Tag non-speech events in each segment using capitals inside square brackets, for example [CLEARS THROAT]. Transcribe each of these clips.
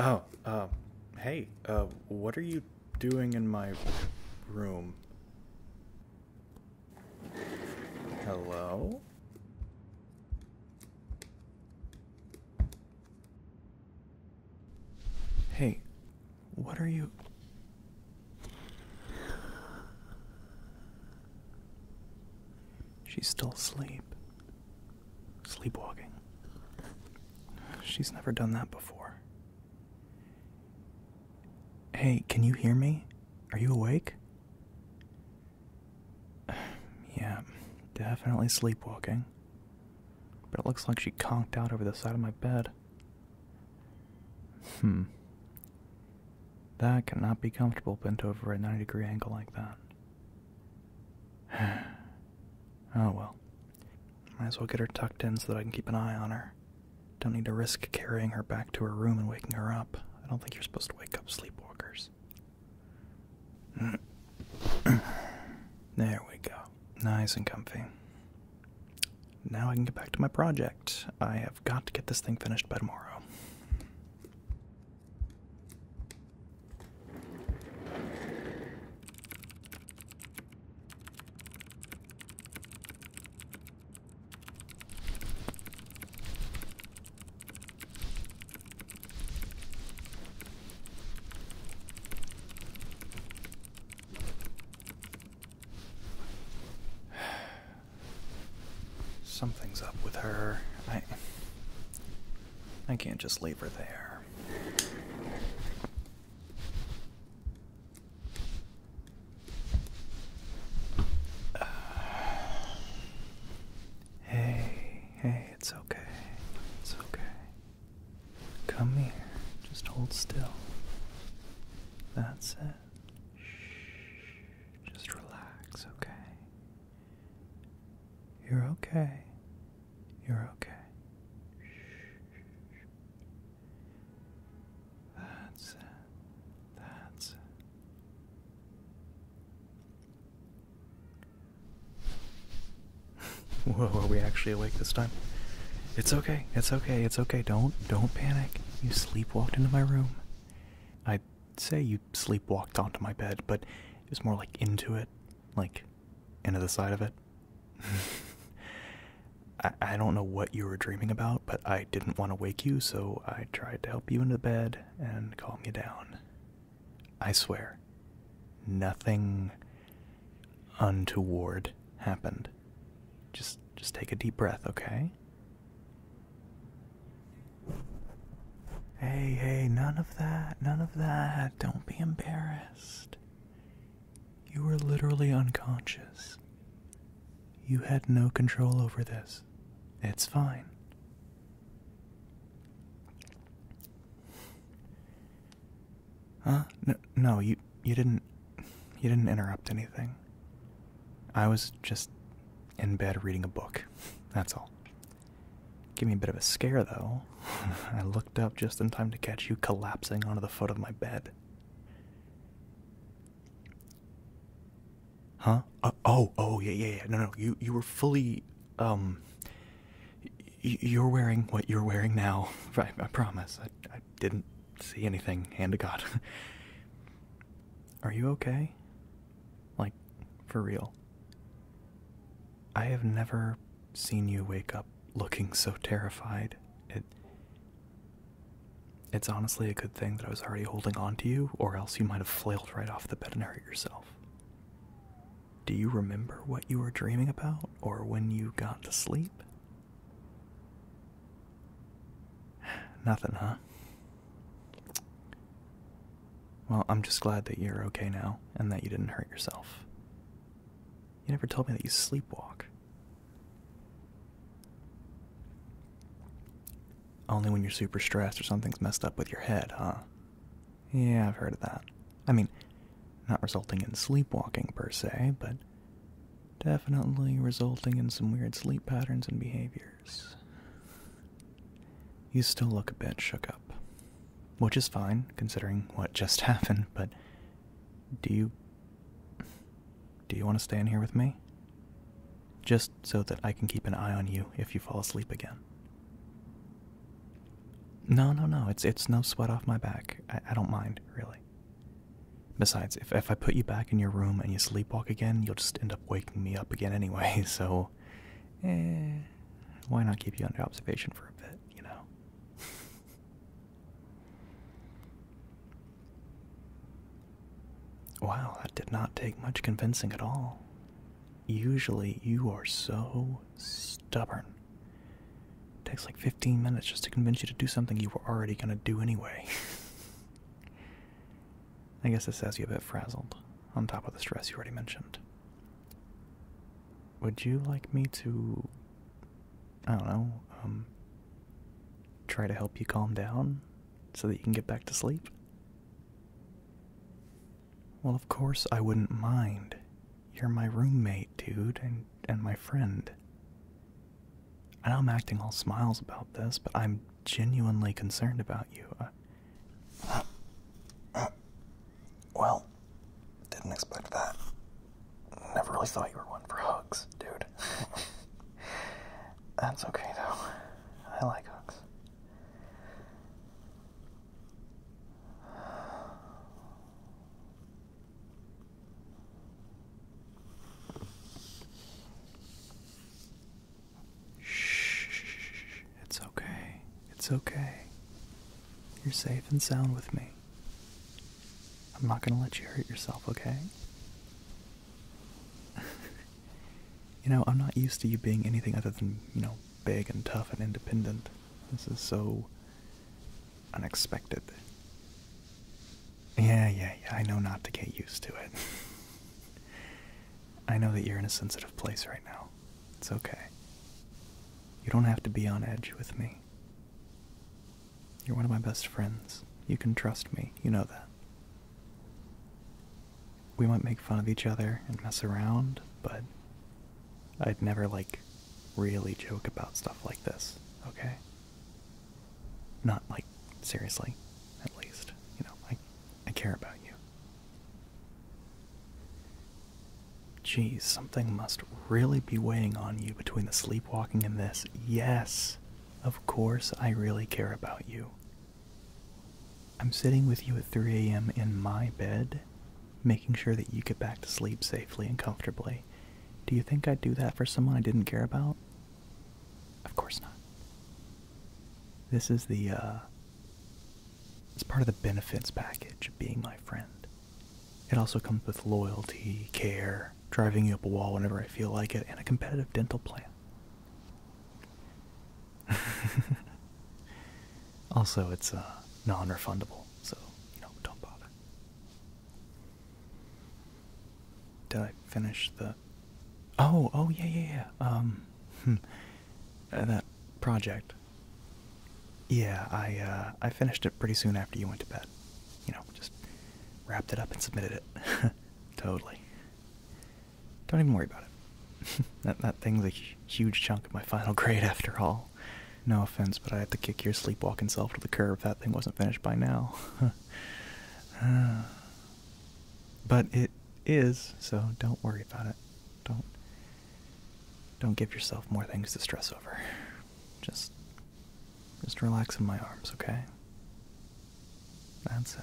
Oh, uh, hey, uh, what are you doing in my room? Hello? Hey, what are you? She's still asleep. Sleepwalking. She's never done that before. Hey, can you hear me? Are you awake? [SIGHS] Yeah, definitely sleepwalking. But it looks like she conked out over the side of my bed. Hmm. That cannot be comfortable bent over at 90 degree angle like that. [SIGHS] oh well. Might as well get her tucked in so that I can keep an eye on her. Don't need to risk carrying her back to her room and waking her up. I don't think you're supposed to wake up sleepwalkers. [CLEARS THROAT] there we go nice and comfy. Now I can get back to my project. I have got to get this thing finished by tomorrow. [SIGHS] Something's up with her. I I can't just leave her there. [SIGHS] hey, hey, it's okay. It's okay. Come here. Just hold still. That's it. Shh. Just relax, okay? You're okay. You're okay. That's it. That's it. [LAUGHS] Whoa, are we actually awake this time? It's okay. It's okay. It's okay. Don't don't panic. You sleepwalked into my room. I'd say you sleepwalked onto my bed, but it was more like into it, like into the side of it. [LAUGHS] I, I don't know what you were dreaming about, but I didn't want to wake you, so I tried to help you into bed and calm you down. I swear, nothing untoward happened. Just just take a deep breath, okay? Hey, hey, none of that. None of that. Don't be embarrassed. You were literally unconscious. You had no control over this. It's fine. Huh? No, you you didn't you didn't interrupt anything. I was just in bed reading a book. [LAUGHS] That's all. Give me a bit of a scare though. [LAUGHS] I looked up just in time to catch you collapsing onto the foot of my bed. Huh? Uh, oh, oh, yeah, yeah, yeah. No, no. You you were fully um you're wearing what you're wearing now. [LAUGHS] I, I promise. I, I didn't see anything, hand to God. [LAUGHS] Are you okay? Like, for real? I have never seen you wake up looking so terrified. It. It's honestly a good thing that I was already holding on to you, or else you might have flailed right off the bed and hurt yourself. Do you remember what you were dreaming about or when you got to sleep? [SIGHS] Nothing, huh? Well, I'm just glad that you're okay now and that you didn't hurt yourself. You never told me that you sleepwalk. Only when you're super stressed or something's messed up with your head, huh? Yeah, I've heard of that. I mean, not resulting in sleepwalking per se, but definitely resulting in some weird sleep patterns and behaviors. You still look a bit shook up, which is fine considering what just [LAUGHS] happened, but do you. Do you want to stay in here with me? Just so that I can keep an eye on you if you fall asleep again. No, no, no. It's it's no sweat off my back. I, don't mind, really. Besides, if if I put you back in your room and you sleepwalk again, you'll just end up waking me up again anyway. [LAUGHS] So, eh, why not keep you under observation for a bit, you know? [LAUGHS] wow, that did not take much convincing at all. Usually, you are so stubborn takes like 15 minutes just to convince you to do something you were already going to do anyway. [LAUGHS] I guess this has you a bit frazzled, on top of the stress you already mentioned. Would you like me to. I don't know, um. try to help you calm down so that you can get back to sleep? Well, of course I wouldn't mind. You're my roommate, dude, and, and my friend. I know I'm acting all smiles about this, but I'm genuinely concerned about you. Uh, uh, [COUGHS] well, didn't expect that. Never really thought you were one for hugs, dude. [LAUGHS] That's okay, though. I like hugs. Shh, It's okay. It's okay. You're safe and sound with me. I'm not going to let you hurt yourself, okay? [LAUGHS] you know, I'm not used to you being anything other than, you know, big and tough and independent. This is so unexpected. Yeah, yeah, yeah. I know not to get used to it. [LAUGHS] I know that you're in a sensitive place right now. It's okay. You don't have to be on edge with me. You're one of my best friends. You can trust me. You know that. We might make fun of each other and mess around, but I'd never like really joke about stuff like this, okay? Not like seriously, at least. You know, I I care about you. Geez, something must really be weighing on you between the sleepwalking and this. Yes, of course I really care about you. I'm sitting with you at 3 a.m. in my bed, making sure that you get back to sleep safely and comfortably. Do you think I'd do that for someone I didn't care about? Of course not. This is the, uh, it's part of the benefits package of being my friend. It also comes with loyalty, care, driving you up a wall whenever I feel like it, and a competitive dental plan. [LAUGHS] also, it's uh, non-refundable, so you know, don't bother. Did I finish the? Oh, oh yeah, yeah, yeah. Um, hmm, uh, that project. Yeah, I uh, I finished it pretty soon after you went to bed. You know, just wrapped it up and submitted it. [LAUGHS] totally. Don't even worry about it. [LAUGHS] that that thing's a huge chunk of my final [LAUGHS] grade after all. No offense, but I had to kick your sleepwalking self to the curb if that thing wasn't finished by now. [LAUGHS] uh, but it is, so don't worry about it. Don't don't give yourself more things to stress over. Just just relax in my arms, okay? That's it.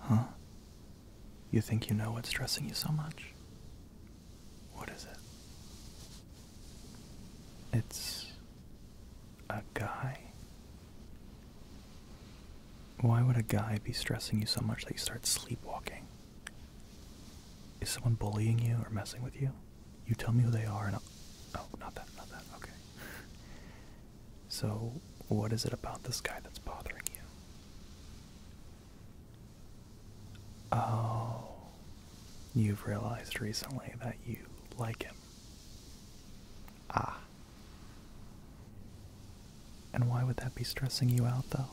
Huh? You think you know what's stressing you so much? What is it? It's a guy. Why would a guy be stressing you so much that you start sleepwalking? Is someone bullying you or messing with you? You tell me who they are, and I'll, oh, not that, not that. Okay. so, what is it about this guy that's bothering you? Oh, you've realized recently that you like him. Ah. And why would that be stressing you out, though?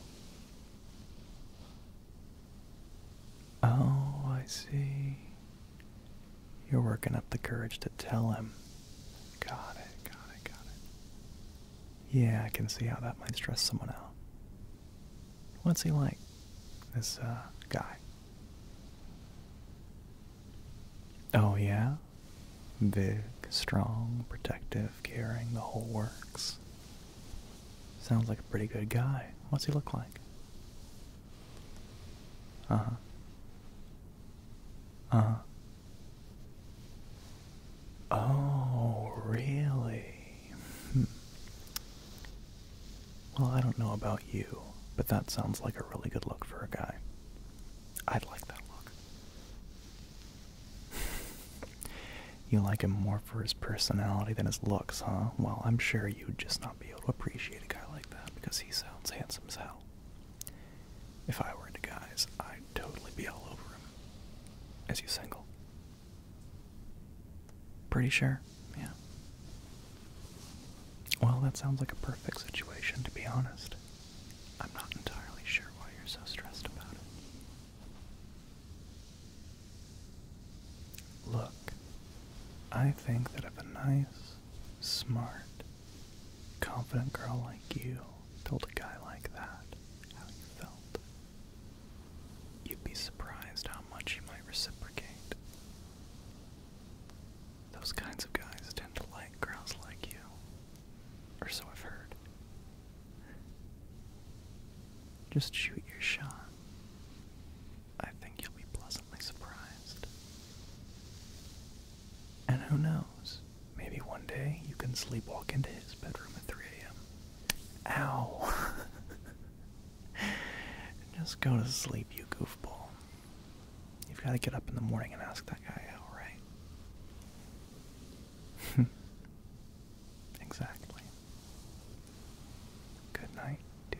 Oh, I see. You're working up the courage to tell him. Got it, got it, got it. Yeah, I can see how that might stress someone out. What's he like, this uh, guy? Oh, yeah? Big, strong, protective, caring, the whole works. Sounds like a pretty good guy. What's he look like? Uh huh. Uh huh. Oh, really? Hmm. Well, I don't know about you, but that sounds like a really good look for a guy. I'd like that look. [LAUGHS] you like him more for his personality than his looks, huh? Well, I'm sure you'd just not be able to appreciate a guy like that because he sounds handsome as hell. If I were into guys, I'd totally be all over him. As you single? Pretty sure, yeah. Well, that sounds like a perfect situation, to be honest. I'm not entirely sure why you're so stressed about it. Look, I think that if a nice, smart, confident girl like you told a guy like that how you felt, you'd be surprised how much he might reciprocate. Those kinds of guys tend to like girls like you, or so I've heard. Just shoot your shot. I think you'll be pleasantly surprised. And who knows? Maybe one day you can sleepwalk into his bedroom at 3 a.m. Ow! [LAUGHS] Just go to sleep, you goofball. You've got to get up in the morning and ask that guy out, right? [LAUGHS] Exactly. Good night, dude.